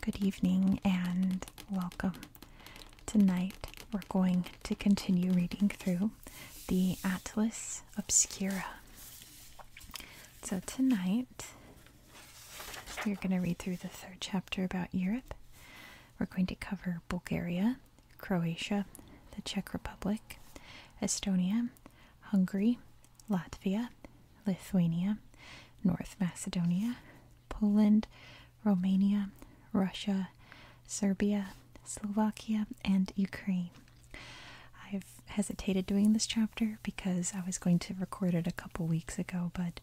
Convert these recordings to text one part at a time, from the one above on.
Good evening and welcome. Tonight we're going to continue reading through the Atlas Obscura. So tonight we're going to read through the third chapter about Europe. We're going to cover Bulgaria, Croatia, the Czech Republic, Estonia, Hungary, Latvia, Lithuania, North Macedonia, Poland, Romania, Russia, Serbia, Slovakia, and Ukraine. I've hesitated doing this chapter because I was going to record it a couple weeks ago, but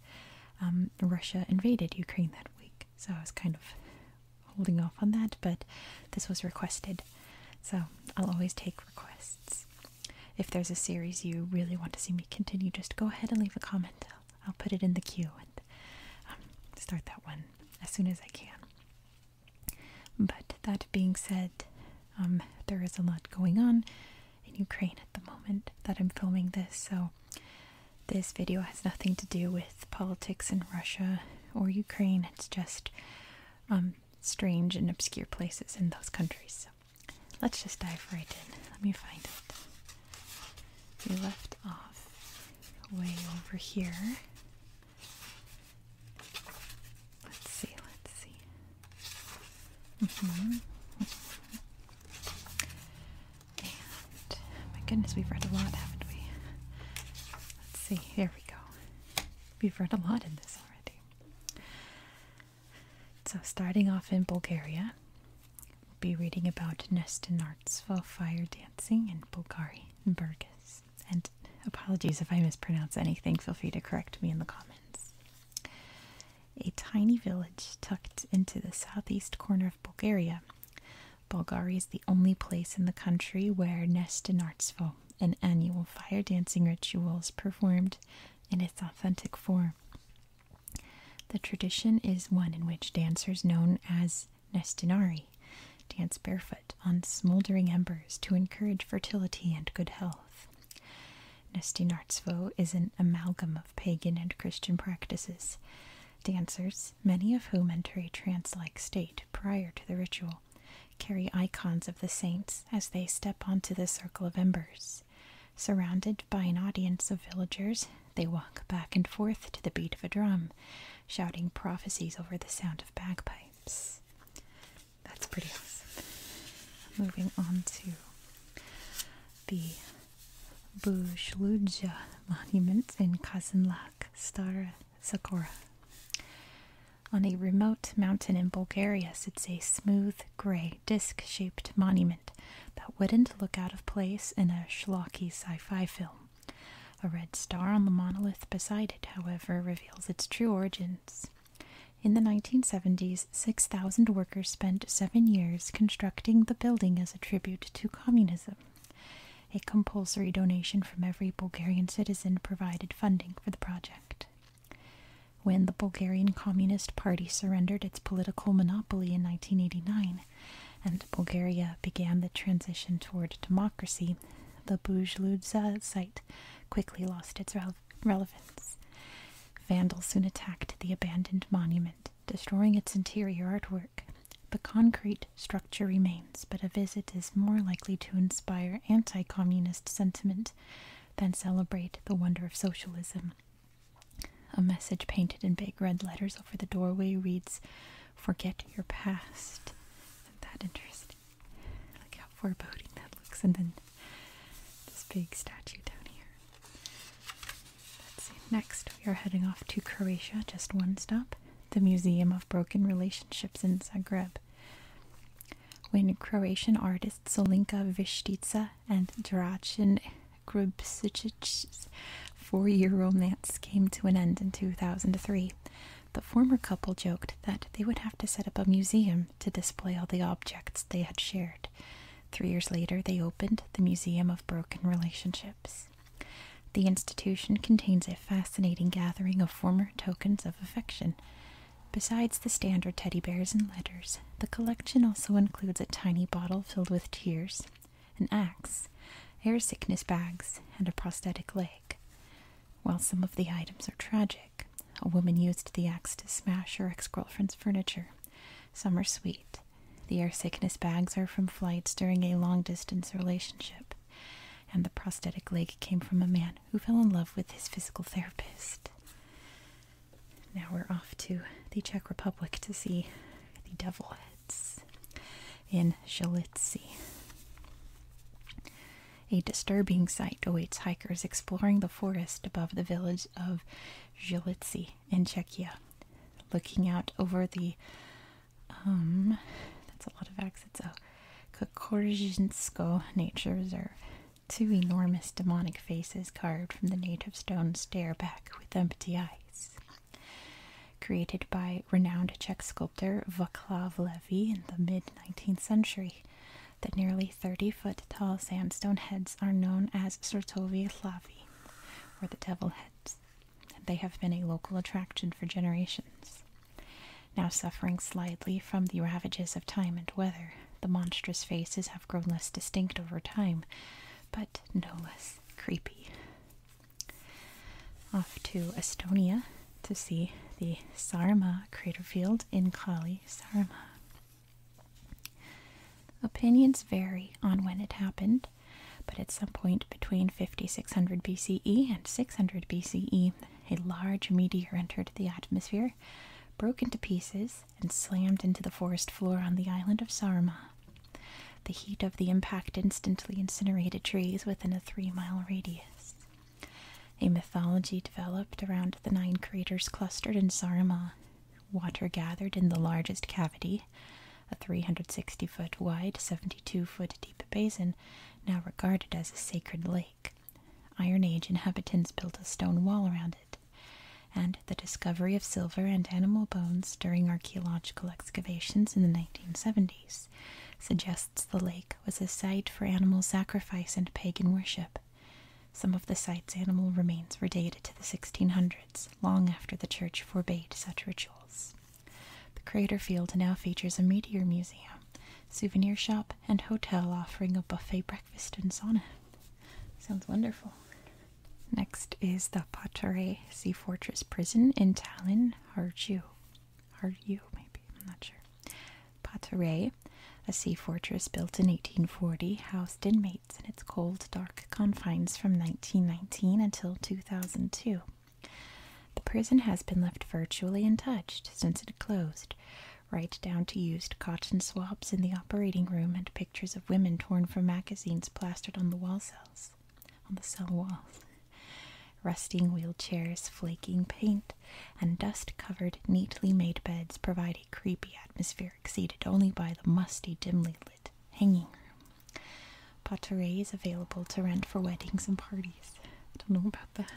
um, Russia invaded Ukraine that week, so I was kind of holding off on that, but this was requested. So I'll always take requests. If there's a series you really want to see me continue, just go ahead and leave a comment. I'll, put it in the queue and um, start that one as soon as I can. But that being said, um, there is a lot going on in Ukraine at the moment that I'm filming this, so this video has nothing to do with politics in Russia or Ukraine. It's just um, strange and obscure places in those countries. So let's just dive right in. Let me find it. We left off way over here. Let's see, let's see. Mm-hmm. my goodness, we've read a lot, haven't we? Let's see, here we go. We've read a lot in this already. So, starting off in Bulgaria, we'll be reading about Nestinartstvo fire dancing in Bulgari and Burgas. And apologies if I mispronounce anything, feel free to correct me in the comments. A tiny village tucked into the southeast corner of Bulgaria Bulgari is the only place in the country where Nestinartstvo, an annual fire dancing ritual, is performed in its authentic form. The tradition is one in which dancers known as Nestinari dance barefoot on smoldering embers to encourage fertility and good health. Nestinartstvo is an amalgam of pagan and Christian practices. Dancers many of whom enter a trance like state prior to the ritual, carry icons of the saints as they step onto the circle of embers. Surrounded by an audience of villagers, they walk back and forth to the beat of a drum, shouting prophecies over the sound of bagpipes. That's pretty awesome. Moving on to the Bujludja monuments in Kazanlak, Stara Sakura. On a remote mountain in Bulgaria sits a smooth, gray, disc shaped monument that wouldn't look out of place in a schlocky sci fi film. A red star on the monolith beside it, however, reveals its true origins. In the 1970s, 6,000 workers spent seven years constructing the building as a tribute to communism. A compulsory donation from every Bulgarian citizen provided funding for the project. When the Bulgarian Communist Party surrendered its political monopoly in 1989 and Bulgaria began the transition toward democracy, the Bujludza site quickly lost its relevance. Vandals soon attacked the abandoned monument, destroying its interior artwork. The concrete structure remains, but a visit is more likely to inspire anti communist sentiment than celebrate the wonder of socialism. A message painted in big red letters over the doorway reads, Forget your past. Isn't that interesting? Look how foreboding that looks. And then this big statue down here. Next, we are heading off to Croatia, just one stop the Museum of Broken Relationships in Zagreb. When Croatian artists Solinka Vištica and Dračan Grubsic's four year romance came to an end in 2003, the former couple joked that they would have to set up a museum to display all the objects they had shared. Three years later, they opened the Museum of Broken Relationships. The institution contains a fascinating gathering of former tokens of affection. Besides the standard teddy bears and letters, the collection also includes a tiny bottle filled with tears, an axe, air sickness bags, and a prosthetic leg. While some of the items are tragic, a woman used the axe to smash her ex girlfriend's furniture. Some are sweet. The air sickness bags are from flights during a long distance relationship and the prosthetic leg came from a man who fell in love with his physical therapist. Now we're off to the Czech Republic to see the devil heads in Shalitsi. A disturbing sight awaits hikers exploring the forest above the village of Zhilitsi in Czechia, looking out over the um, that's a lot of accents. Oh, Kokorzhinsko Nature Reserve. Two enormous demonic faces carved from the native stone stare back with empty eyes. Created by renowned Czech sculptor Vaclav Levy in the mid 19th century, the nearly 30 foot tall sandstone heads are known as Sortovi hlavy, or the devil heads. They have been a local attraction for generations. Now suffering slightly from the ravages of time and weather, the monstrous faces have grown less distinct over time, but no less creepy. Off to Estonia to see the Sarma field in Kali, Sarma. Opinions vary on when it happened, but at some point between 5600 BCE and 600 BCE, a large meteor entered the atmosphere, broke into pieces, and slammed into the forest floor on the island of Sarma. The heat of the impact instantly incinerated trees within a three mile radius. A mythology developed around the nine craters clustered in Sarma. Water gathered in the largest cavity, a 360 foot wide, 72 foot deep basin, now regarded as a sacred lake. Iron Age inhabitants built a stone wall around it, and the discovery of silver and animal bones during archaeological excavations in the 1970s suggests the lake was a site for animal sacrifice and pagan worship. Some of the site's animal remains were dated to the 1600s, long after the church forbade such rituals. The crater field now features a meteor museum, souvenir shop, and hotel offering a buffet breakfast and sauna. Sounds wonderful. Next is the Patare Sea Fortress Prison in Tallinn, Harju. Harju, maybe, I'm not sure. Patare, a sea fortress built in 1840, housed inmates in its cold, dark confines from 1919 until 2002. The prison has been left virtually untouched since it closed, right down to used cotton swabs in the operating room and pictures of women torn from magazines plastered on the wall cells, on the cell walls. Rusting wheelchairs, flaking paint, and dust covered, neatly made beds provide a creepy atmosphere exceeded only by the musty, dimly lit hanging room. Pottery is available to rent for weddings and parties. I don't know about that.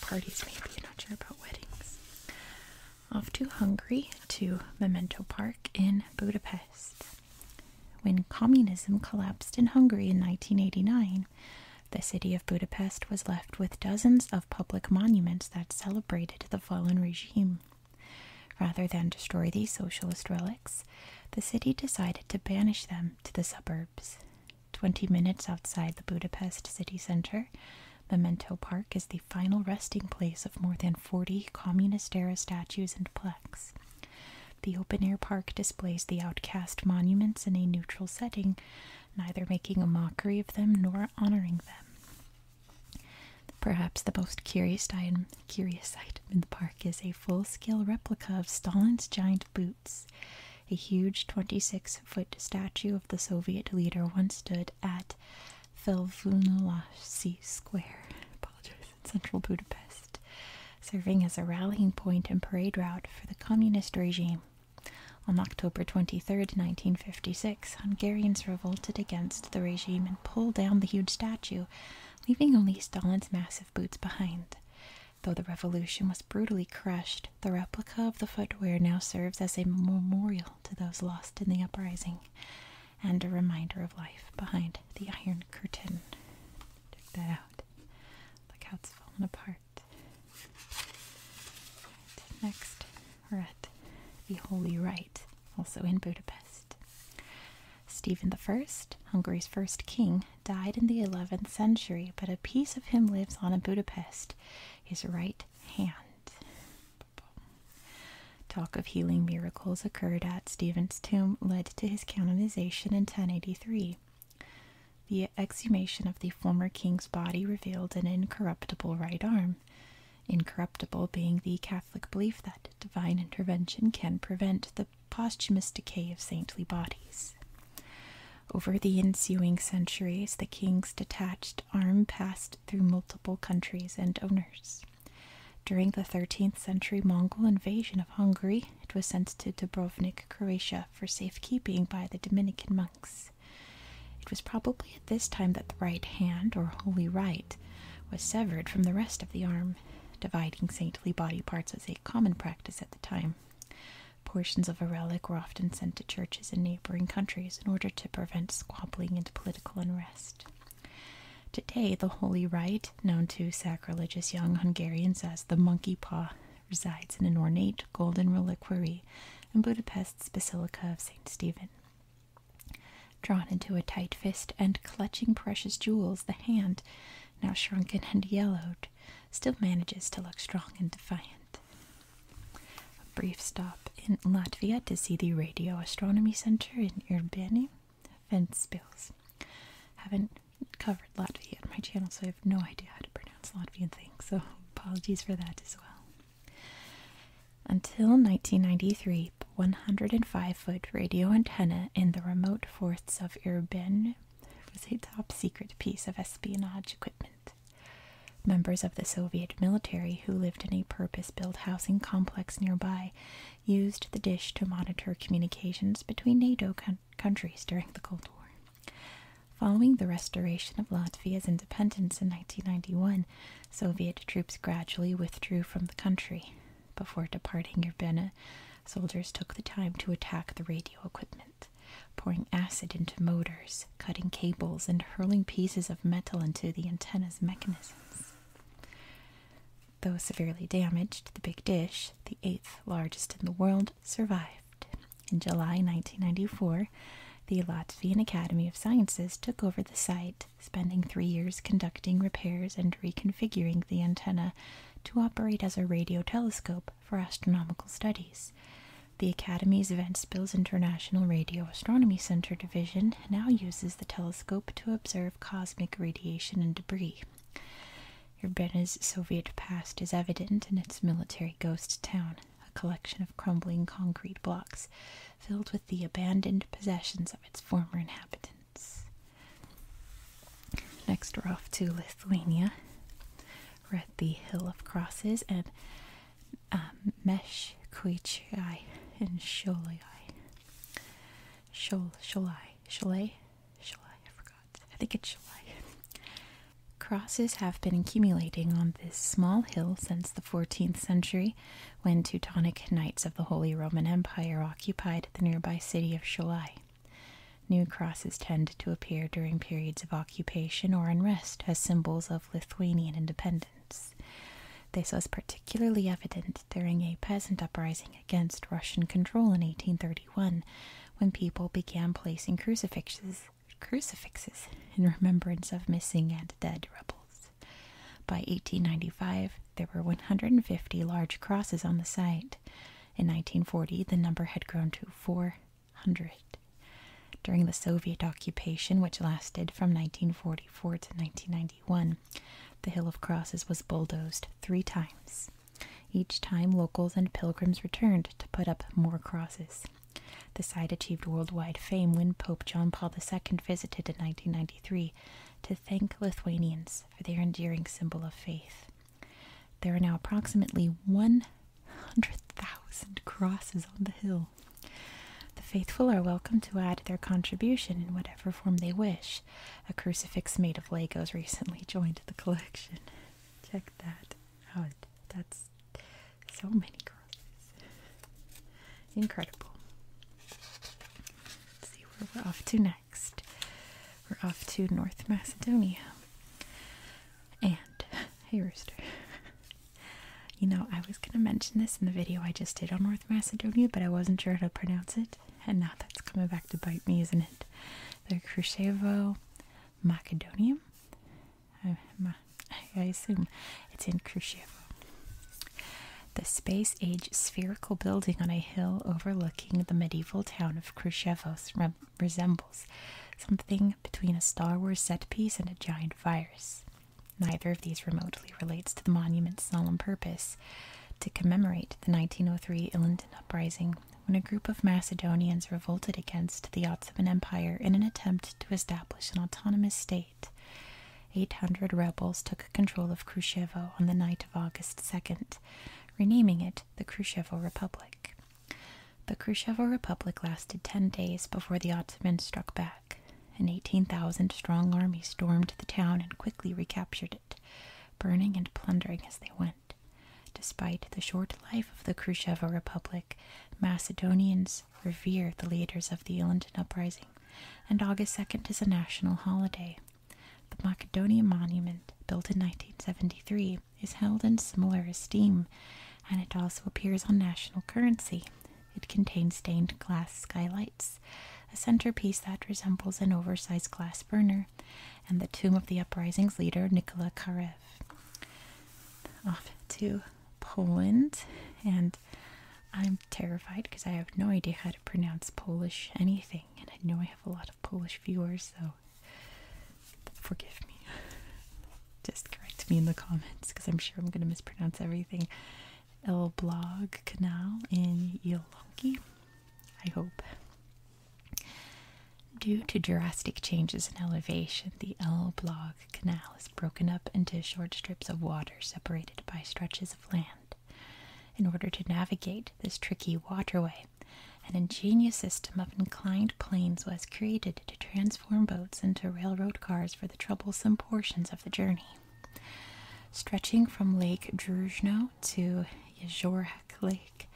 Parties, maybe. not sure about weddings. Off to Hungary to Memento Park in Budapest. When communism collapsed in Hungary in 1989, the city of Budapest was left with dozens of public monuments that celebrated the fallen regime. Rather than destroy these socialist relics, the city decided to banish them to the suburbs. 20 minutes outside the Budapest city center, Memento Park is the final resting place of more than 40 communist era statues and plaques. The open air park displays the outcast monuments in a neutral setting, neither making a mockery of them nor honoring them. Perhaps the most curious item, curious item in the park is a full scale replica of Stalin's giant boots. A huge 26 foot statue of the Soviet leader once stood at Felvunulasi Square, in central Budapest, serving as a rallying point and parade route for the communist regime. On October 23, 1956, Hungarians revolted against the regime and pulled down the huge statue, leaving only Stalin's massive boots behind. Though the revolution was brutally crushed, the replica of the footwear now serves as a memorial to those lost in the uprising and a reminder of life behind the Iron Curtain. Check that out. Look how it's fallen apart. next, we're at the Holy Rite, also in Budapest. Stephen I, Hungary's first king, died in the 11th century, but a piece of him lives on in Budapest, his right hand. Talk of healing miracles occurred at Stephen's tomb led to his canonization in 1083. The exhumation of the former king's body revealed an incorruptible right arm, incorruptible being the Catholic belief that divine intervention can prevent the posthumous decay of saintly bodies. Over the ensuing centuries, the king's detached arm passed through multiple countries and owners. During the 13th century Mongol invasion of Hungary, it was sent to Dubrovnik, Croatia, for safekeeping by the Dominican monks. It was probably at this time that the right hand, or holy right, was severed from the rest of the arm. Dividing saintly body parts was a common practice at the time. Portions of a relic were often sent to churches in neighboring countries in order to prevent squabbling and political unrest. Today, the holy rite, known to sacrilegious young Hungarians as the monkey paw, resides in an ornate golden reliquary in Budapest's Basilica of St. Stephen. Drawn into a tight fist and clutching precious jewels, the hand, now shrunken and yellowed, still manages to look strong and defiant. A brief stop in Latvia to see the Radio Astronomy Center in Urbani, Ventspils. Haven't covered Latvia on my channel, so I have no idea how to pronounce Latvian things, so apologies for that as well. Until 1993, 105 foot radio antenna in the remote forests of Irben was a top secret piece of espionage equipment. Members of the Soviet military who lived in a purpose built housing complex nearby used the dish to monitor communications between NATO countries during the Cold War. Following the restoration of Latvia's independence in 1991, Soviet troops gradually withdrew from the country. Before departing Urbana, soldiers took the time to attack the radio equipment pouring acid into motors, cutting cables, and hurling pieces of metal into the antenna's mechanisms. Though severely damaged, the Big Dish, the eighth largest in the world, survived. In July 1994, the Latvian Academy of Sciences took over the site, spending three years conducting repairs and reconfiguring the antenna to operate as a radio telescope for astronomical studies. The Academy's Ventspils International Radio Astronomy Center division now uses the telescope to observe cosmic radiation and debris. Urbena's Soviet past is evident in its military ghost town, a collection of crumbling concrete blocks filled with the abandoned possessions of its former inhabitants. Next, we're off to Lithuania. We're at the Hill of Crosses and um, Mesh Kuichai and Sholai. Shol Sholai. Sholai? Sholai, I forgot. I think it's Sholai. Crosses have been accumulating on this small hill since the 14th century when Teutonic Knights of the Holy Roman Empire occupied the nearby city of Sholai. New crosses tend to appear during periods of occupation or unrest as symbols of Lithuanian independence. This was particularly evident during a peasant uprising against Russian control in 1831 when people began placing crucifixes in remembrance of missing and dead rebels. By 1895, there were 150 large crosses on the site. In 1940, the number had grown to 4 hundred. During the Soviet occupation, which lasted from 1944 to 1991, the Hill of Crosses was bulldozed three times. Each time, locals and pilgrims returned to put up more crosses. The site achieved worldwide fame when Pope John Paul II visited in 1993 to thank Lithuanians for their enduring symbol of faith. There are now approximately 100,000 crosses on the hill. The faithful are welcome to add their contribution in whatever form they wish. A crucifix made of Legos recently joined the collection. Check that out. That's so many crosses. Incredible. Let's see where we're off to next. We're off to North Macedonia. And, hey Rooster. you know, I was gonna mention this in the video I just did on North Macedonia, but I wasn't sure how to pronounce it, and now that's coming back to bite me, isn't it? The Khrushchevo Macedonia. I, assume it's in Khrushchevo. The space age spherical building on a hill overlooking the medieval town of resembles something between a Star Wars set piece and a giant virus. Neither of these remotely relates to the monument's solemn purpose to commemorate the 1903 Ilinden Uprising when a group of Macedonians revolted against the Ottoman Empire in an attempt to establish an autonomous state. 800 rebels took control of Krusevo on the night of August 2nd, renaming it the Krusevo Republic. The Khrushchev Republic lasted 10 days before the Ottomans struck back. An 18,000 strong army stormed the town and quickly recaptured it, burning and plundering as they went. Despite the short life of the Khrushchev Republic, Macedonians revere the leaders of the Ilinden Uprising, and August 2nd is a national holiday. The Macedonian Monument, built in 1973, is held in similar esteem, and it also appears on national currency. It contains stained glass skylights, a centerpiece that resembles an oversized glass burner, and the tomb of the uprising's leader, Nicola Karev. Off to Poland, and I'm terrified because I have no idea how to pronounce Polish anything, and I know I have a lot of Polish viewers, so forgive me. Just correct me in the comments because I'm sure I'm going to mispronounce everything. El Blog Canal in Yolonki, I hope. Due to drastic changes in elevation, the El Blog Canal is broken up into short strips of water separated by stretches of land. In order to navigate this tricky waterway, an ingenious system of inclined planes was created to transform boats into railroad cars for the troublesome portions of the journey. Stretching from Lake Druzhno to Jeziorek Lake,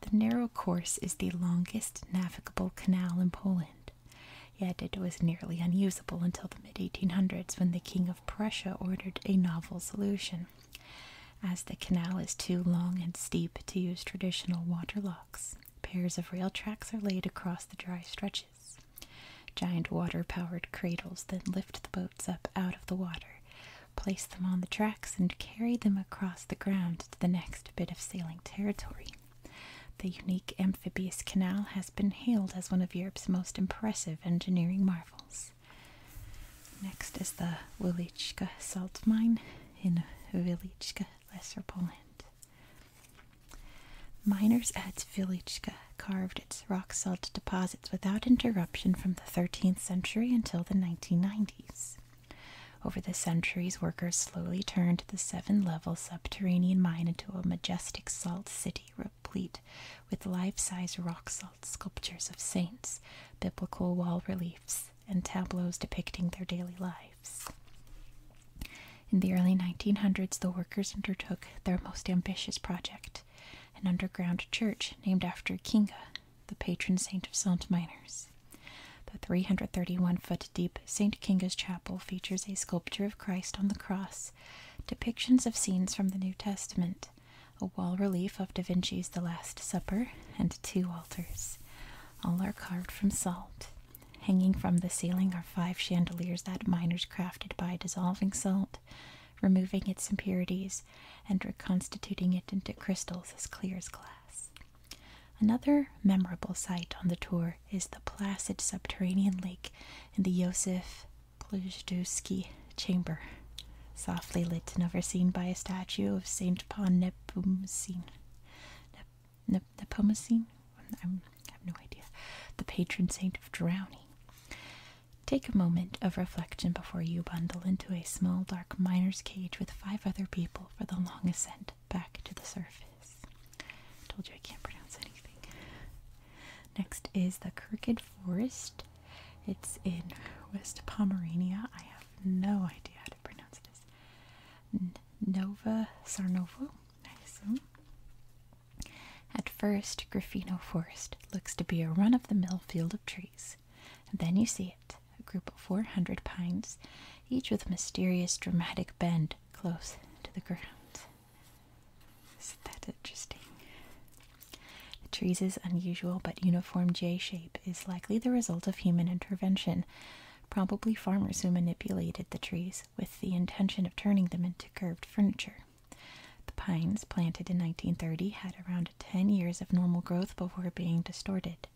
the narrow course is the longest navigable canal in Poland. Yet it was nearly unusable until the mid 1800s when the King of Prussia ordered a novel solution. As the canal is too long and steep to use traditional water locks, Pairs of rail tracks are laid across the dry stretches. Giant water powered cradles then lift the boats up out of the water, place them on the tracks, and carry them across the ground to the next bit of sailing territory. The unique amphibious canal has been hailed as one of Europe's most impressive engineering marvels. Next is the Wieliczka salt mine in Wieliczka, Lesser Poland. Miners at Velichka carved its rock salt deposits without interruption from the 13th century until the 1990s. Over the centuries, workers slowly turned the seven level subterranean mine into a majestic salt city replete with life size rock salt sculptures of saints, biblical wall reliefs, and tableaus depicting their daily lives. In the early 1900s, the workers undertook their most ambitious project an underground church named after Kinga, the patron saint of salt miners. The 331 foot deep St. Kinga's Chapel features a sculpture of Christ on the cross, depictions of scenes from the New Testament, a wall relief of Da Vinci's The Last Supper, and two altars. All are carved from salt. Hanging from the ceiling are five chandeliers that miners crafted by dissolving salt, removing its impurities, and reconstituting it into crystals as clear as glass. Another memorable sight on the tour is the placid subterranean lake in the Josef Plujduski chamber, softly lit and overseen by a statue of Saint Pan Nepomuk Nep i have no idea. The patron saint of drowning. Take a moment of reflection before you bundle into a small, dark miner's cage with five other people for the long ascent back to the surface. told you I can't pronounce anything. Next is the Crooked Forest. It's in West Pomerania. I have no idea how to pronounce this. Nova Sarnovo, At first, Griffino Forest looks to be a run of the mill field of trees. then you see it, a group of 400 pines, each with mysterious dramatic bend close to the ground. Isn't that interesting? The trees' unusual but uniform J shape is likely the result of human intervention, probably farmers who manipulated the trees with the intention of turning them into curved furniture. The pines planted in 1930 had around 10 years of normal growth before being distorted.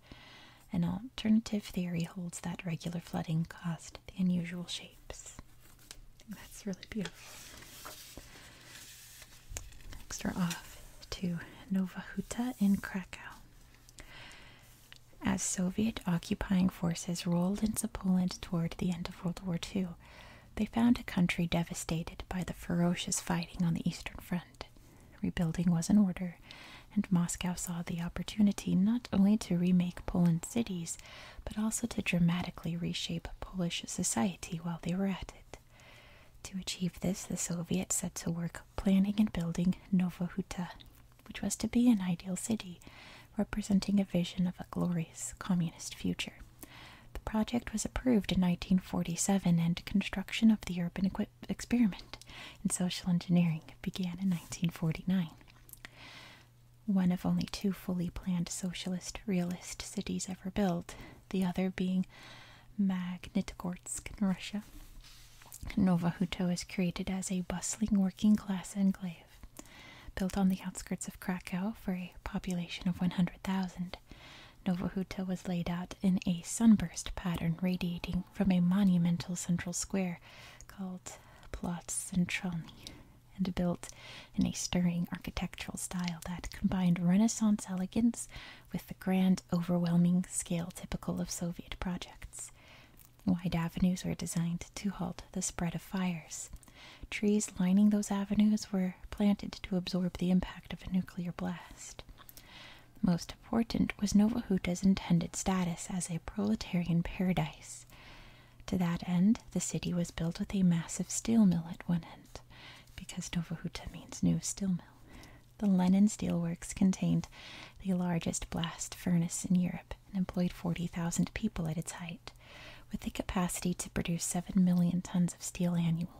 An alternative theory holds that regular flooding caused the unusual shapes. That's really beautiful. Next, we're off to Nova Huta in Krakow. As Soviet occupying forces rolled into Poland toward the end of World War II, they found a country devastated by the ferocious fighting on the Eastern Front. Rebuilding was in order, and Moscow saw the opportunity not only to remake Poland's cities, but also to dramatically reshape Polish society while they were at it. To achieve this, the Soviets set to work planning and building Huta which was to be an ideal city representing a vision of a glorious communist future. The project was approved in 1947 and construction of the urban experiment in social engineering began in 1949. One of only two fully planned socialist realist cities ever built, the other being Magnitogorsk in Russia Novahuto was created as a bustling working class enclave. Built on the outskirts of Krakow for a population of 100,000, Novahuta was laid out in a sunburst pattern radiating from a monumental central square called Platz Centralny and built in a stirring architectural style that combined Renaissance elegance with the grand, overwhelming scale typical of Soviet projects. Wide avenues were designed to halt the spread of fires. Trees lining those avenues were planted to absorb the impact of a nuclear blast. Most important was Novohuta's intended status as a proletarian paradise. To that end, the city was built with a massive steel mill at one end, because Novohuta means new steel mill. The Lenin steelworks contained the largest blast furnace in Europe and employed 40,000 people at its height, with the capacity to produce 7 million tons of steel annually.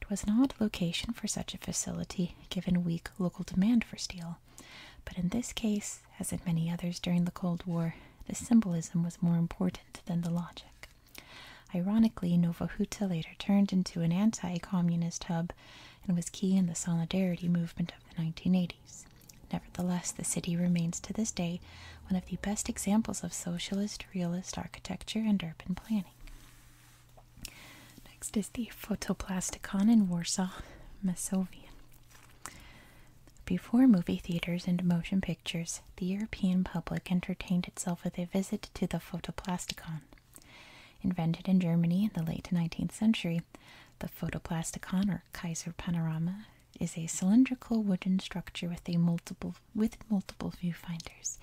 It was an odd location for such a facility, given weak local demand for steel, but in this case, as in many others during the Cold War, the symbolism was more important than the logic. Ironically, Novohuta later turned into an anti communist hub and was key in the Solidarity movement the 1980s. Nevertheless, the city remains to this day one of the best examples of socialist realist architecture and urban planning. Next is the Photoplasticon in Warsaw, Masovian. Before movie theaters and motion pictures, the European public entertained itself with a visit to the Photoplasticon. Invented in Germany in the late 19th century, the photoplasticon or Kaiser panorama is a cylindrical wooden structure with multiple with multiple viewfinders,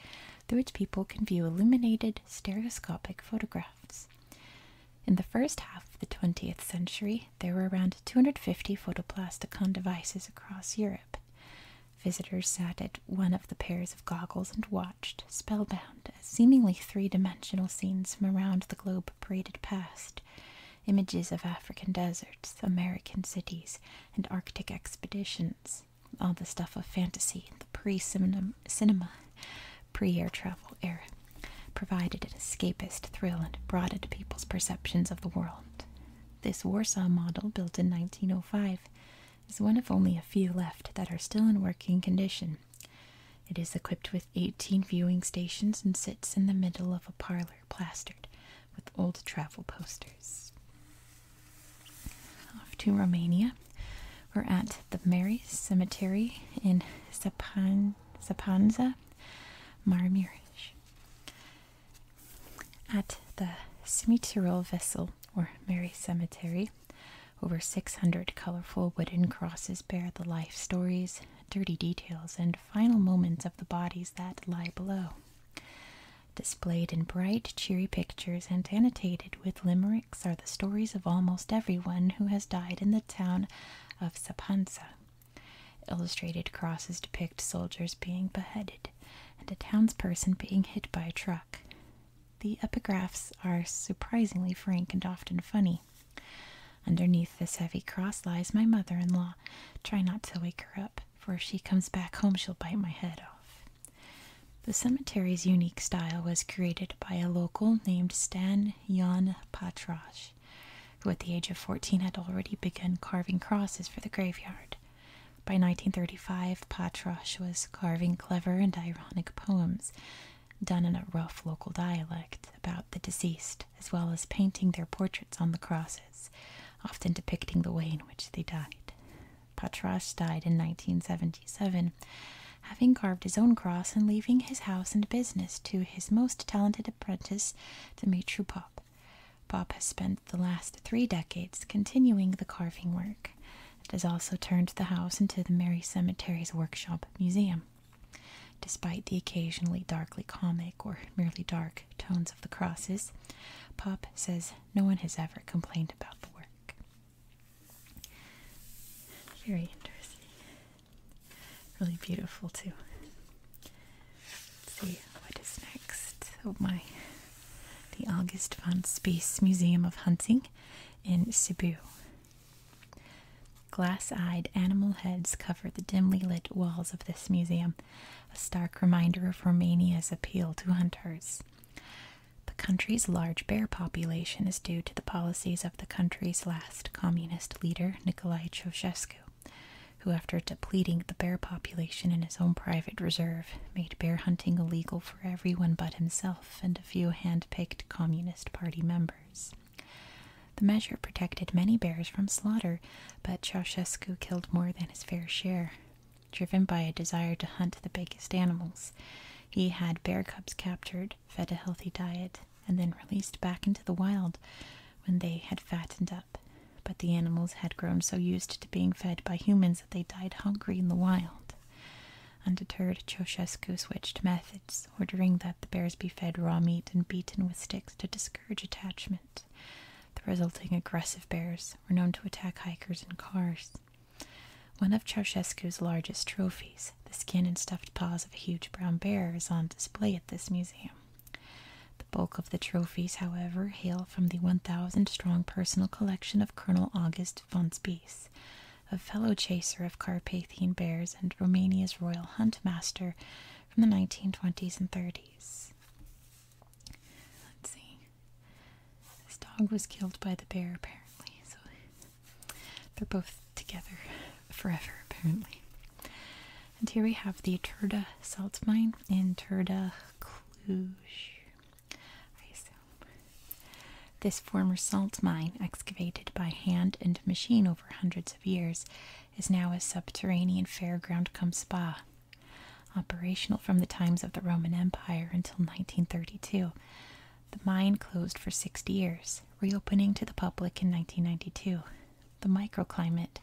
through which people can view illuminated stereoscopic photographs. In the first half of the 20th century, there were around 250 photoplasticon devices across Europe. Visitors sat at one of the pairs of goggles and watched, spellbound, as seemingly three dimensional scenes from around the globe paraded past images of African deserts, American cities, and Arctic expeditions. All the stuff of fantasy in the pre cinema, pre air travel era provided an escapist thrill and broadened people's perceptions of the world. This Warsaw model, built in 1905, is one of only a few left that are still in working condition it is equipped with 18 viewing stations and sits in the middle of a parlor plastered with old travel posters. Off to Romania. We're at the Mary Cemetery in Sapan Sapanza, Marmiresh. At the Cimitarol Vessel, or Mary Cemetery, over 600 colorful wooden crosses bear the life stories, dirty details, and final moments of the bodies that lie below. Displayed in bright, cheery pictures and annotated with limericks are the stories of almost everyone who has died in the town of Sapansa. Illustrated crosses depict soldiers being beheaded and a townsperson being hit by a truck. The epigraphs are surprisingly frank and often funny. Underneath this heavy cross lies my mother in law. Try not to wake her up, for if she comes back home, she'll bite my head off. The cemetery's unique style was created by a local named Stan Jan Patrasch, who at the age of 14 had already begun carving crosses for the graveyard. By 1935, Patrasch was carving clever and ironic poems done in a rough local dialect about the deceased, as well as painting their portraits on the crosses, often depicting the way in which they died. Patras died in 1977, having carved his own cross and leaving his house and business to his most talented apprentice, Dimitru Pop. Pop has spent the last three decades continuing the carving work. It has also turned the house into the Mary Cemetery's workshop museum. Despite the occasionally darkly comic or merely dark tones of the crosses, Pop says no one has ever complained about the work. Very interesting. Really beautiful, too. Let's see what is next. Oh, my. The August von Space Museum of Hunting in Cebu. Glass eyed animal heads cover the dimly lit walls of this museum, a stark reminder of Romania's appeal to hunters. The country's large bear population is due to the policies of the country's last communist leader, Nicolae Ceausescu, who, after depleting the bear population in his own private reserve, made bear hunting illegal for everyone but himself and a few hand picked Communist Party members. The measure protected many bears from slaughter, but Ceausescu killed more than his fair share. Driven by a desire to hunt the biggest animals, he had bear cubs captured, fed a healthy diet, and then released back into the wild when they had fattened up. But the animals had grown so used to being fed by humans that they died hungry in the wild. Undeterred, Ceausescu switched methods ordering that the bears be fed raw meat and beaten with sticks to discourage attachment. The resulting aggressive bears were known to attack hikers and cars. One of Ceausescu's largest trophies, the skin and stuffed paws of a huge brown bear, is on display at this museum. The bulk of the trophies, however, hail from the 1,000 strong personal collection of Colonel August von Spies, a fellow chaser of Carpathian bears and Romania's royal hunt master from the 1920s and 30s. Let's see. This dog was killed by the bear, apparently, so they're both together forever, apparently. And here we have the Turda salt mine in Turda, Cluj. This former salt mine, excavated by hand and machine for hundreds of years, is now a subterranean fairground cum spa. Operational from the times of the Roman Empire until 1932, the mine closed for 60 years, reopening to the public in 1992. The microclimate,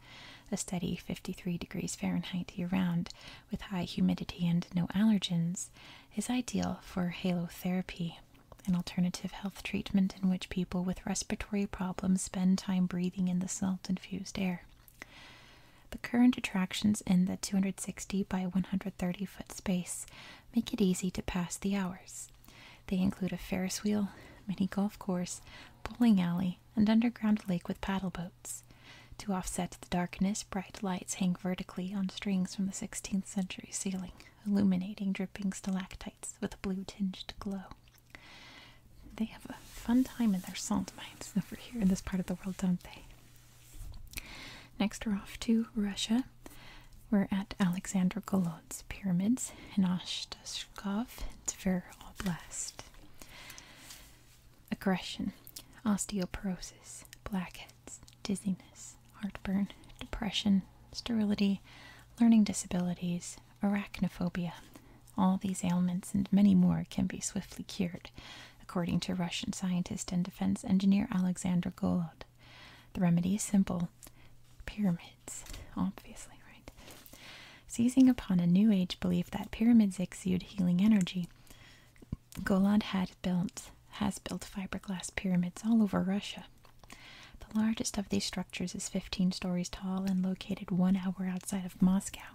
a steady 53 degrees Fahrenheit year round with high humidity and no allergens, is ideal for halotherapy an alternative health treatment in which people with respiratory problems spend time breathing in the salt infused air. The current attractions in the 260 by 130 foot space make it easy to pass the hours. They include a Ferris wheel, mini golf course, bowling alley, and underground lake with paddle boats. To offset the darkness, bright lights hang vertically on strings from the 16th century ceiling, illuminating dripping stalactites with a blue tinged glow. They have a fun time in their salt mines over here in this part of the world, don't they? Next, we're off to Russia. We're at Alexander Golod's pyramids in Ostashkov, Tver Oblast. Aggression, osteoporosis, blackheads, dizziness, heartburn, depression, sterility, learning disabilities, arachnophobia. All these ailments and many more can be swiftly cured, according to Russian scientist and defense engineer Alexander Golod. The remedy is simple pyramids, obviously, right? Seizing upon a New Age belief that pyramids exude healing energy, Golod had built has built fiberglass pyramids all over Russia. The largest of these structures is 15 stories tall and located one hour outside of Moscow.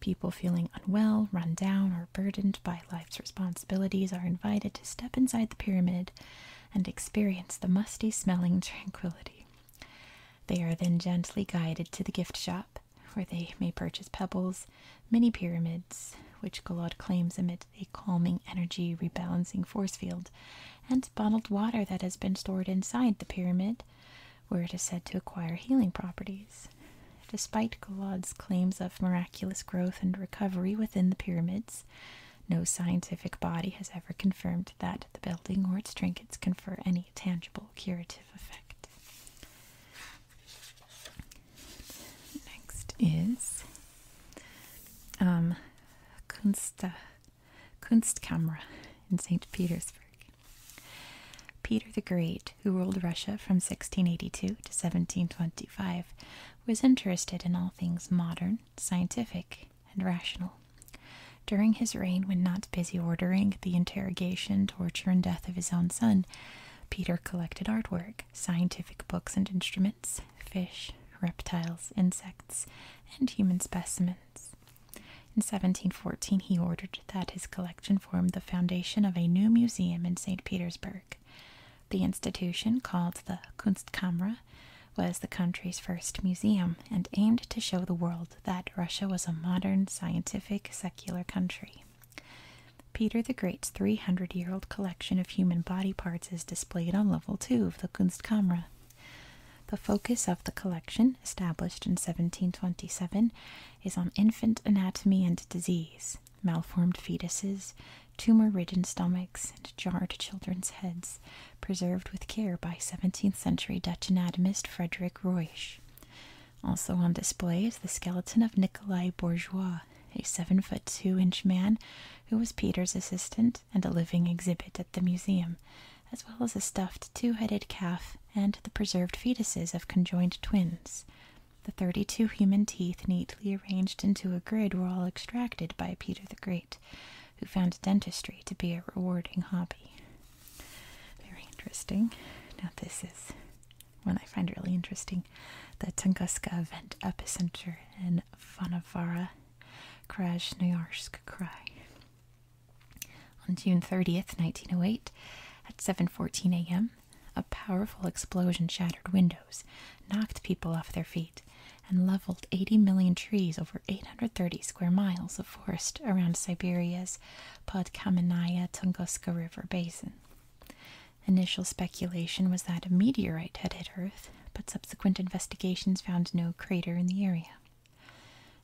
People feeling unwell, run down, or burdened by life's responsibilities are invited to step inside the pyramid and experience the musty smelling tranquility. They are then gently guided to the gift shop, where they may purchase pebbles, mini pyramids, which Golod claims emit it a calming energy rebalancing force field, and bottled water that has been stored inside the pyramid, where it is said to acquire healing properties. Despite Galad's claims of miraculous growth and recovery within the pyramids, no scientific body has ever confirmed that the building or its trinkets confer any tangible curative effect. Next is um, Kunst, uh, Kunstkamera in St. Petersburg. Peter the Great, who ruled Russia from 1682 to 1725, was interested in all things modern, scientific, and rational. During his reign, when not busy ordering the interrogation, torture, and death of his own son, Peter collected artwork, scientific books and instruments, fish, reptiles, insects, and human specimens. In 1714, he ordered that his collection form the foundation of a new museum in St. Petersburg. The institution, called the Kunstkamera was the country's first museum and aimed to show the world that Russia was a modern, scientific, secular country. Peter the Great's 300 year old collection of human body parts is displayed on level 2 of the Kunstkamera. The focus of the collection, established in 1727, is on infant anatomy and disease, malformed fetuses, tumor ridden stomachs, and jarred children's heads, preserved with care by 17th century Dutch anatomist Frederik Roysch. Also on display is the skeleton of Nikolai Bourgeois, a 7 foot 2 inch man who was Peter's assistant and a living exhibit at the museum, as well as a stuffed two headed calf and the preserved fetuses of conjoined twins. The thirty two human teeth, neatly arranged into a grid, were all extracted by Peter the Great, who found dentistry to be a rewarding hobby. Very interesting. Now, this is one I find really interesting the Tunguska event epicenter in Vanavara Krasnoyarsk Cry. On June 30th, 1908, at 7:14 a.m., a powerful explosion shattered windows, knocked people off their feet, and leveled 80 million trees over 830 square miles of forest around Siberia's Podkamenaya Tunguska River basin. Initial speculation was that a meteorite had hit Earth but subsequent investigations found no crater in the area.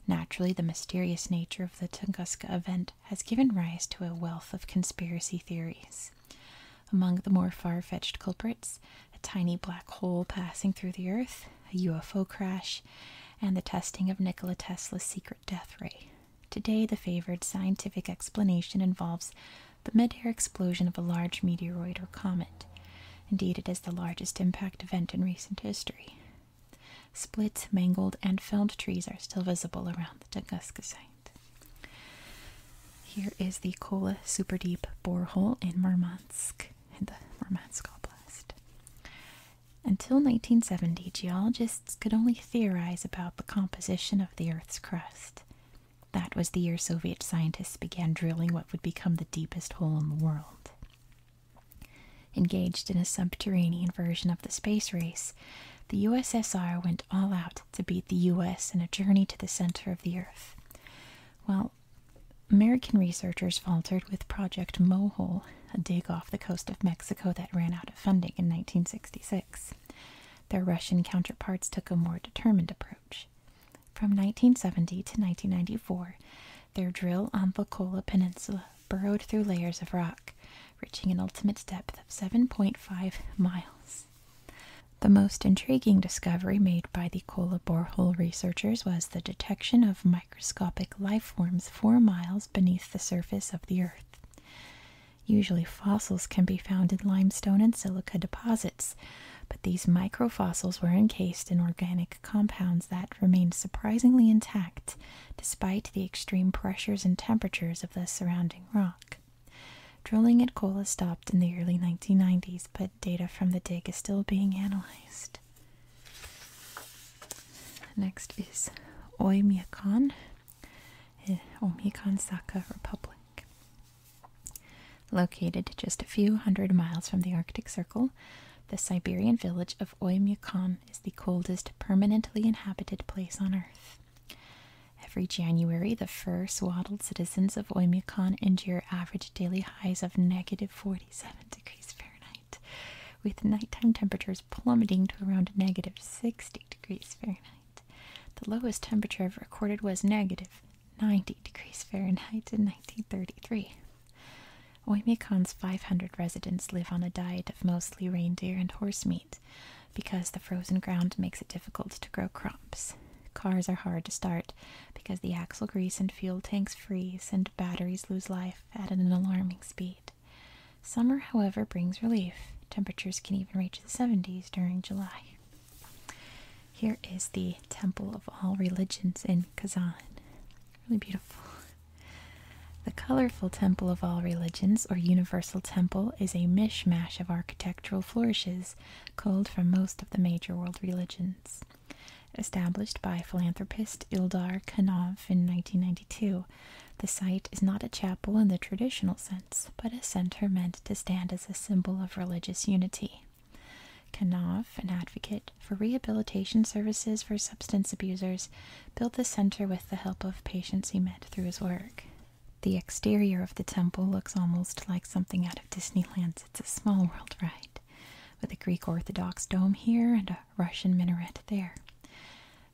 Naturally, the mysterious nature of the Tunguska event has given rise to a wealth of conspiracy theories. Among the more far fetched culprits, a tiny black hole passing through the Earth, a UFO crash, and the testing of Nikola Tesla's secret death ray. Today, the favored scientific explanation involves the mid air explosion of a large meteoroid or comet. Indeed, it is the largest impact event in recent history. Split, mangled, and felled trees are still visible around the Tunguska site. Here is the Kola Super Deep borehole in Murmansk, in the Murmansk Oblast. Until 1970, geologists could only theorize about the composition of the Earth's crust. That was the year Soviet scientists began drilling what would become the deepest hole in the world. Engaged in a subterranean version of the space race, the USSR went all out to beat the US in a journey to the center of the Earth. Well, American researchers faltered with Project Mohole, a dig off the coast of Mexico that ran out of funding in 1966. Their Russian counterparts took a more determined approach. From 1970 to 1994, their drill on the Kola Peninsula burrowed through layers of rock, reaching an ultimate depth of 7.5 miles. The most intriguing discovery made by the Kola borehole researchers was the detection of microscopic life forms four miles beneath the surface of the Earth. Usually, fossils can be found in limestone and silica deposits but these microfossils were encased in organic compounds that remained surprisingly intact despite the extreme pressures and temperatures of the surrounding rock. Drilling at Kola stopped in the early 1990s, but data from the dig is still being analyzed. Next is Oymyakon, eh, Oymyakon Saka Republic. Located just a few hundred miles from the Arctic Circle, the Siberian village of Oymyakon is the coldest permanently inhabited place on Earth. Every January, the fur swaddled citizens of Oymyakon endure average daily highs of negative 47 degrees Fahrenheit, with nighttime temperatures plummeting to around negative 60 degrees Fahrenheit. The lowest temperature ever recorded was negative 90 degrees Fahrenheit in 1933. Oymyakon's 500 residents live on a diet of mostly reindeer and horse meat because the frozen ground makes it difficult to grow crops. Cars are hard to start because the axle grease and fuel tanks freeze and batteries lose life at an alarming speed. Summer, however, brings relief. Temperatures can even reach the 70s during July. Here is the Temple of All Religions in Kazan. Really beautiful. The colorful Temple of All Religions, or Universal Temple, is a mishmash of architectural flourishes culled from most of the major world religions. Established by philanthropist Ildar Kanov in 1992, the site is not a chapel in the traditional sense, but a center meant to stand as a symbol of religious unity. Kanov, an advocate for rehabilitation services for substance abusers, built the center with the help of patients he met through his work. The exterior of the temple looks almost like something out of Disneyland. It's a Small World right? with a Greek Orthodox dome here and a Russian minaret there.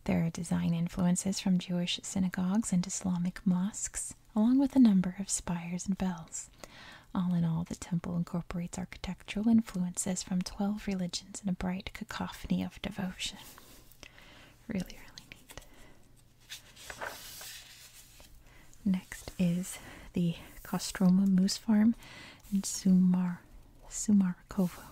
There are design influences from Jewish synagogues and Islamic mosques, along with a number of spires and bells. All in all, the temple incorporates architectural influences from 12 religions in a bright cacophony of devotion. Really, really neat. Next is the Kostroma Moose Farm in Sumar, Sumarkovo.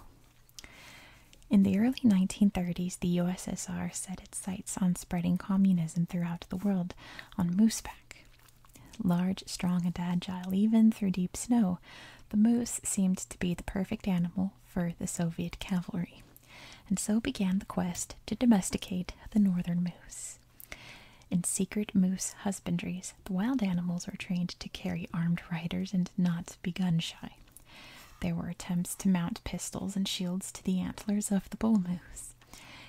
In the early 1930s, the USSR set its sights on spreading communism throughout the world on mooseback. Large, strong, and agile, even through deep snow, the moose seemed to be the perfect animal for the Soviet cavalry. And so began the quest to domesticate the northern moose. In secret moose husbandries, the wild animals were trained to carry armed riders and not be gun shy. There were attempts to mount pistols and shields to the antlers of the bull moose.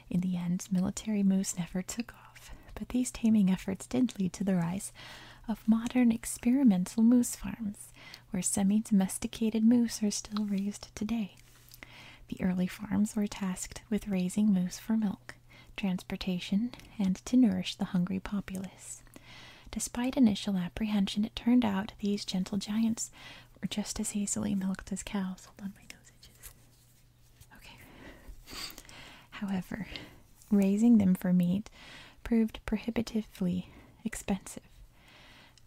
In the end, military moose never took off, but these taming efforts did lead to the rise of modern experimental moose farms, where semi domesticated moose are still raised today. The early farms were tasked with raising moose for milk, transportation, and to nourish the hungry populace. Despite initial apprehension, it turned out these gentle giants were just as easily milked as cows. Hold on, my nose itches. However, raising them for meat proved prohibitively expensive,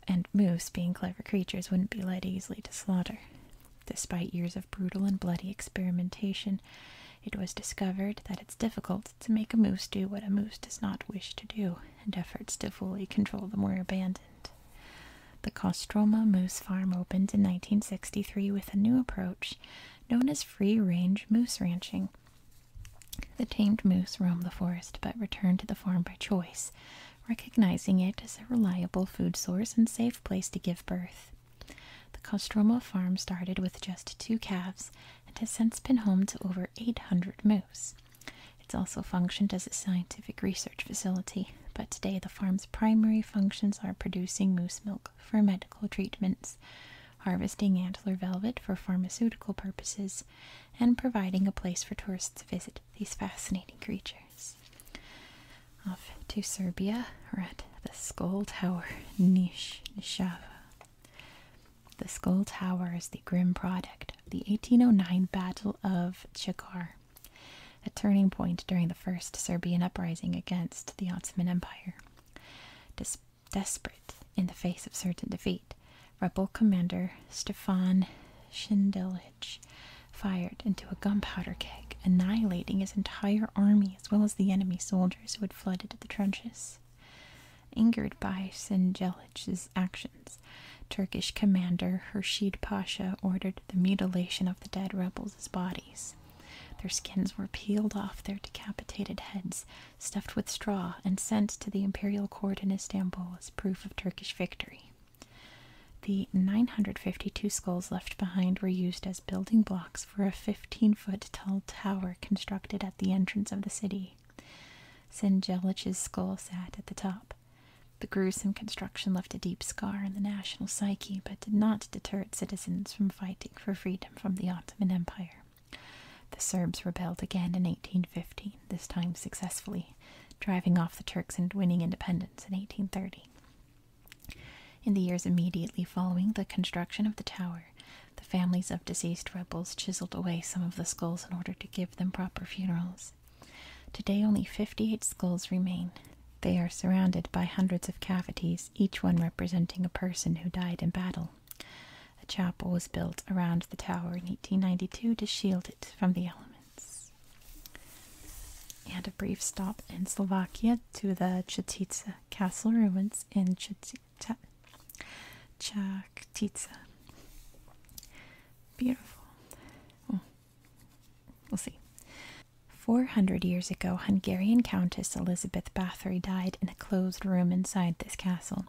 and moose, being clever creatures, wouldn't be led easily to slaughter. Despite years of brutal and bloody experimentation, it was discovered that it's difficult to make a moose do what a moose does not wish to do, and efforts to fully control them were abandoned. The Kostroma Moose Farm opened in 1963 with a new approach known as free range moose ranching. The tamed moose roam the forest but return to the farm by choice, recognizing it as a reliable food source and safe place to give birth. The Kostroma farm started with just two calves and has since been home to over 800 moose. It's also functioned as a scientific research facility, but today the farm's primary functions are producing moose milk for medical treatments, harvesting antler velvet for pharmaceutical purposes, and providing a place for tourists to visit these fascinating creatures. Off to Serbia, we're at the Skull Tower, Nish Nishava. The Skull Tower is the grim product of the 1809 Battle of Chikar a turning point during the first Serbian uprising against the Ottoman Empire. desperate in the face of certain defeat, rebel commander Stefan Šindilić fired into a gunpowder keg, annihilating his entire army as well as the enemy soldiers who had fled into the trenches. Angered by Sindelic's actions, Turkish commander Hershid Pasha ordered the mutilation of the dead rebels' bodies. Their skins were peeled off their decapitated heads, stuffed with straw, and sent to the imperial court in Istanbul as proof of Turkish victory. The 952 skulls left behind were used as building blocks for a 15 foot tall tower constructed at the entrance of the city. Sinjelich's skull sat at the top. The gruesome construction left a deep scar in the national psyche, but did not deter citizens from fighting for freedom from the Ottoman Empire. The Serbs rebelled again in 1815, this time successfully, driving off the Turks and winning independence in 1830. In the years immediately following the construction of the tower, the families of deceased rebels chiseled away some of the skulls in order to give them proper funerals. Today, only 58 skulls remain, they are surrounded by hundreds of cavities, each one representing a person who died in battle. A chapel was built around the tower in 1892 to shield it from the elements. And a brief stop in Slovakia to the Chetice Castle ruins in Chetice. Chaktica. Beautiful. Oh, we'll see. Four hundred years ago, Hungarian Countess Elizabeth Bathory died in a closed room inside this castle.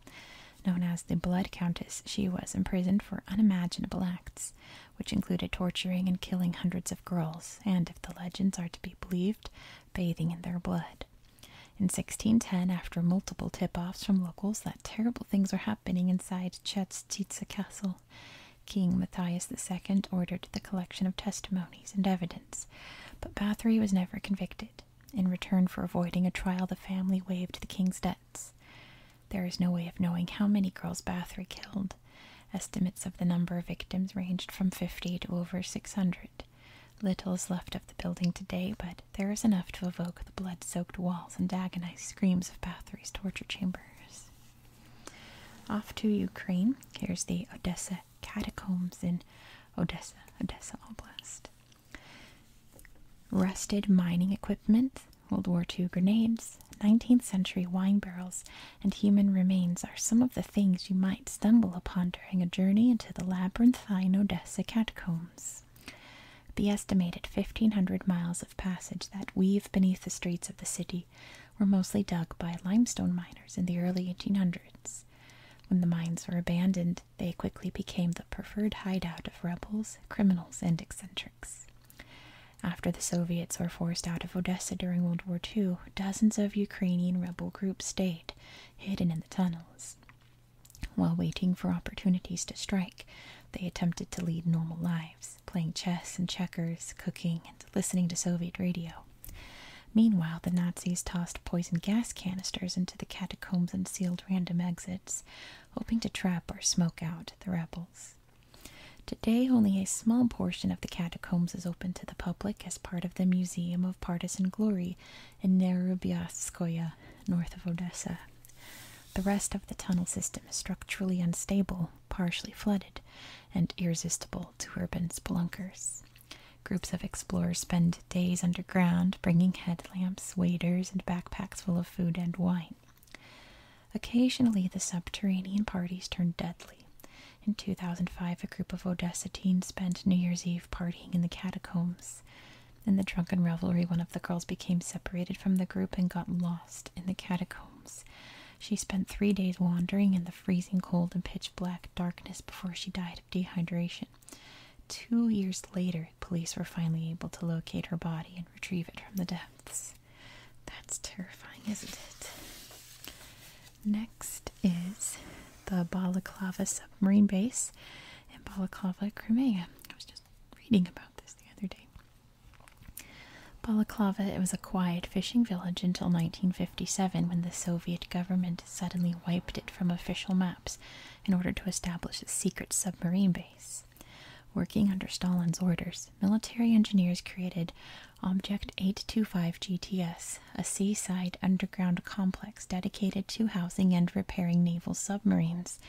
Known as the Blood Countess, she was imprisoned for unimaginable acts, which included torturing and killing hundreds of girls, and, if the legends are to be believed, bathing in their blood. In 1610, after multiple tip offs from locals that terrible things were happening inside Chetstitsa Castle, King Matthias II ordered the collection of testimonies and evidence, but Bathory was never convicted. In return for avoiding a trial, the family waived the king's debts. There is no way of knowing how many girls Bathory killed. Estimates of the number of victims ranged from 50 to over 600. Little is left of the building today, but there is enough to evoke the blood soaked walls and agonized screams of Bathory's torture chambers. Off to Ukraine, here's the Odessa catacombs in Odessa, Odessa Oblast. Rusted mining equipment, World War II grenades, 19th century wine barrels, and human remains are some of the things you might stumble upon during a journey into the labyrinthine Odessa catacombs. The estimated 1,500 miles of passage that weave beneath the streets of the city were mostly dug by limestone miners in the early 1800s. When the mines were abandoned, they quickly became the preferred hideout of rebels, criminals, and eccentrics. After the Soviets were forced out of Odessa during World War II, dozens of Ukrainian rebel groups stayed, hidden in the tunnels. While waiting for opportunities to strike, they attempted to lead normal lives, playing chess and checkers, cooking, and listening to Soviet radio. Meanwhile, the Nazis tossed poison gas canisters into the catacombs and sealed random exits, hoping to trap or smoke out the rebels. Today, only a small portion of the catacombs is open to the public as part of the Museum of Partisan Glory in Nerubyatskoye, north of Odessa. The rest of the tunnel system is structurally unstable, partially flooded, and irresistible to urban spelunkers. Groups of explorers spend days underground, bringing headlamps, waders, and backpacks full of food and wine. Occasionally, the subterranean parties turn deadly. In 2005, a group of Odessa teens spent New Year's Eve partying in the catacombs. In the drunken revelry, one of the girls became separated from the group and got lost in the catacombs. She spent three days wandering in the freezing cold and pitch black darkness before she died of dehydration. Two years later, police were finally able to locate her body and retrieve it from the depths. That's terrifying, isn't it? Next is the Balaclava submarine base in Balaclava, Crimea. I was just reading about this the other day. Balaclava, it was a quiet fishing village until 1957 when the Soviet government suddenly wiped it from official maps in order to establish a secret submarine base. Working under Stalin's orders, military engineers created Object 825 GTS, a seaside underground complex dedicated to housing and repairing naval submarines,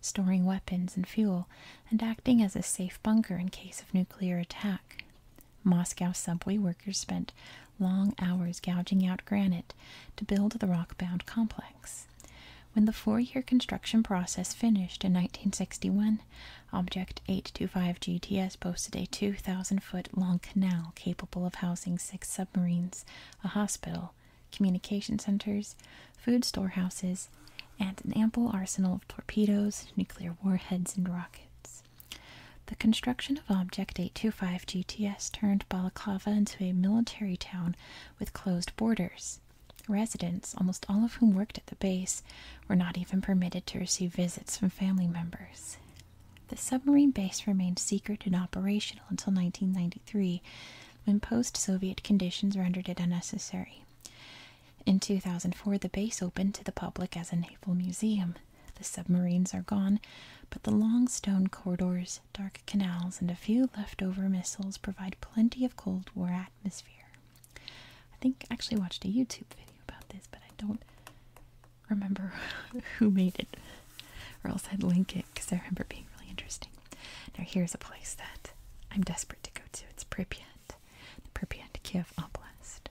storing weapons and fuel, and acting as a safe bunker in case of nuclear attack. Moscow subway workers spent long hours gouging out granite to build the rock bound complex. When the four year construction process finished in 1961, Object 825 GTS boasted a 2,000 foot long canal capable of housing six submarines, a hospital, communication centers, food storehouses, and an ample arsenal of torpedoes, nuclear warheads, and rockets. The construction of Object 825 GTS turned Balaklava into a military town with closed borders. Residents, almost all of whom worked at the base, were not even permitted to receive visits from family members. The submarine base remained secret and operational until 1993, when post Soviet conditions rendered it unnecessary. In 2004, the base opened to the public as a naval museum. The submarines are gone, but the long stone corridors, dark canals, and a few leftover missiles provide plenty of cold war atmosphere. I think actually watched a YouTube video about this, but I don't remember who made it, or else I'd link it because I remember being really interesting. Now, here's a place that I'm desperate to go to. It's Pripyat, Pripyat Kiev Oblast.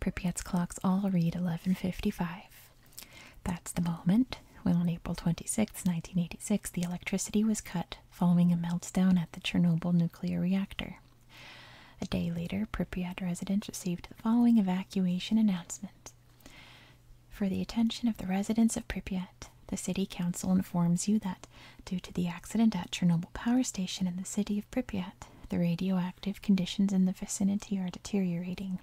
Pripyat's clocks all read 1155. That's the moment when, on April 26, 1986, the electricity was cut following a meltdown at the Chernobyl nuclear reactor. A day later, Pripyat residents received the following evacuation announcement. For the attention of the residents of Pripyat, the City Council informs you that, due to the accident at Chernobyl Power Station in the city of Pripyat, the radioactive conditions in the vicinity are deteriorating.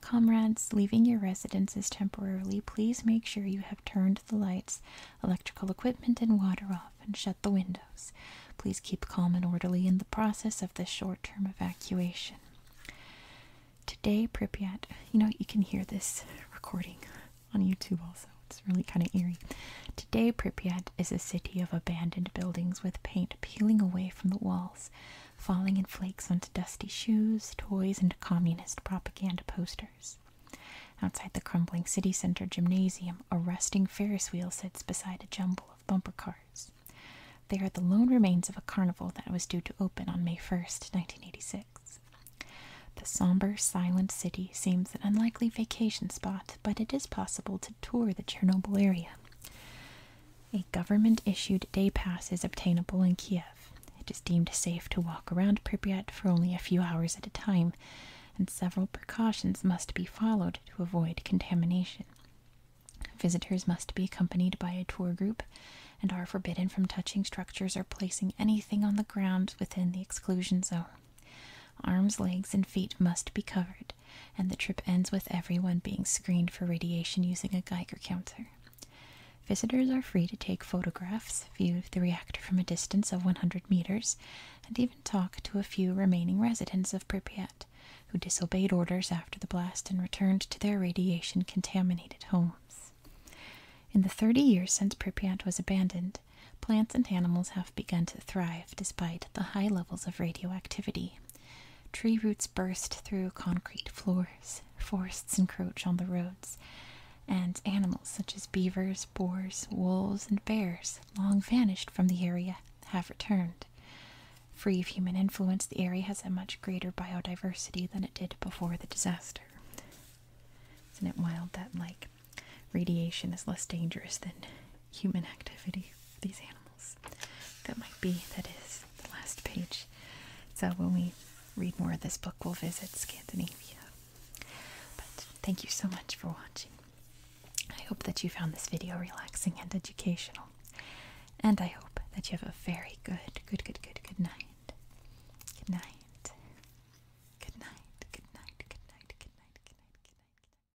Comrades leaving your residences temporarily, please make sure you have turned the lights, electrical equipment, and water off and shut the windows. Please keep calm and orderly in the process of this short term evacuation. Today, Pripyat, you know, you can hear this recording on YouTube also. It's really kind of eerie. Today, Pripyat is a city of abandoned buildings with paint peeling away from the walls, falling in flakes onto dusty shoes, toys, and communist propaganda posters. Outside the crumbling city center gymnasium, a rusting Ferris wheel sits beside a jumble of bumper cars. They are the lone remains of a carnival that was due to open on May 1st, 1986. The somber, silent city seems an unlikely vacation spot, but it is possible to tour the Chernobyl area. A government issued day pass is obtainable in Kiev. It is deemed safe to walk around Pripyat for only a few hours at a time, and several precautions must be followed to avoid contamination. Visitors must be accompanied by a tour group and are forbidden from touching structures or placing anything on the ground within the exclusion zone. Arms, legs, and feet must be covered, and the trip ends with everyone being screened for radiation using a Geiger counter. Visitors are free to take photographs, view the reactor from a distance of 100 meters, and even talk to a few remaining residents of Pripyat who disobeyed orders after the blast and returned to their radiation contaminated homes. In the 30 years since Pripyat was abandoned, plants and animals have begun to thrive despite the high levels of radioactivity. Tree roots burst through concrete floors, forests encroach on the roads, and animals such as beavers, boars, wolves, and bears, long vanished from the area, have returned. Free of human influence, the area has a much greater biodiversity than it did before the disaster. Isn't it wild that, like, radiation is less dangerous than human activity for these animals. That might be, that is, the last page. So when we read more of this book, we'll visit Scandinavia. But thank you so much for watching. I hope that you found this video relaxing and educational. And I hope that you have a very good, good, good, good, good night. Good night. Good night. Good night. Good night. Good night. Good night. Good night. Good night.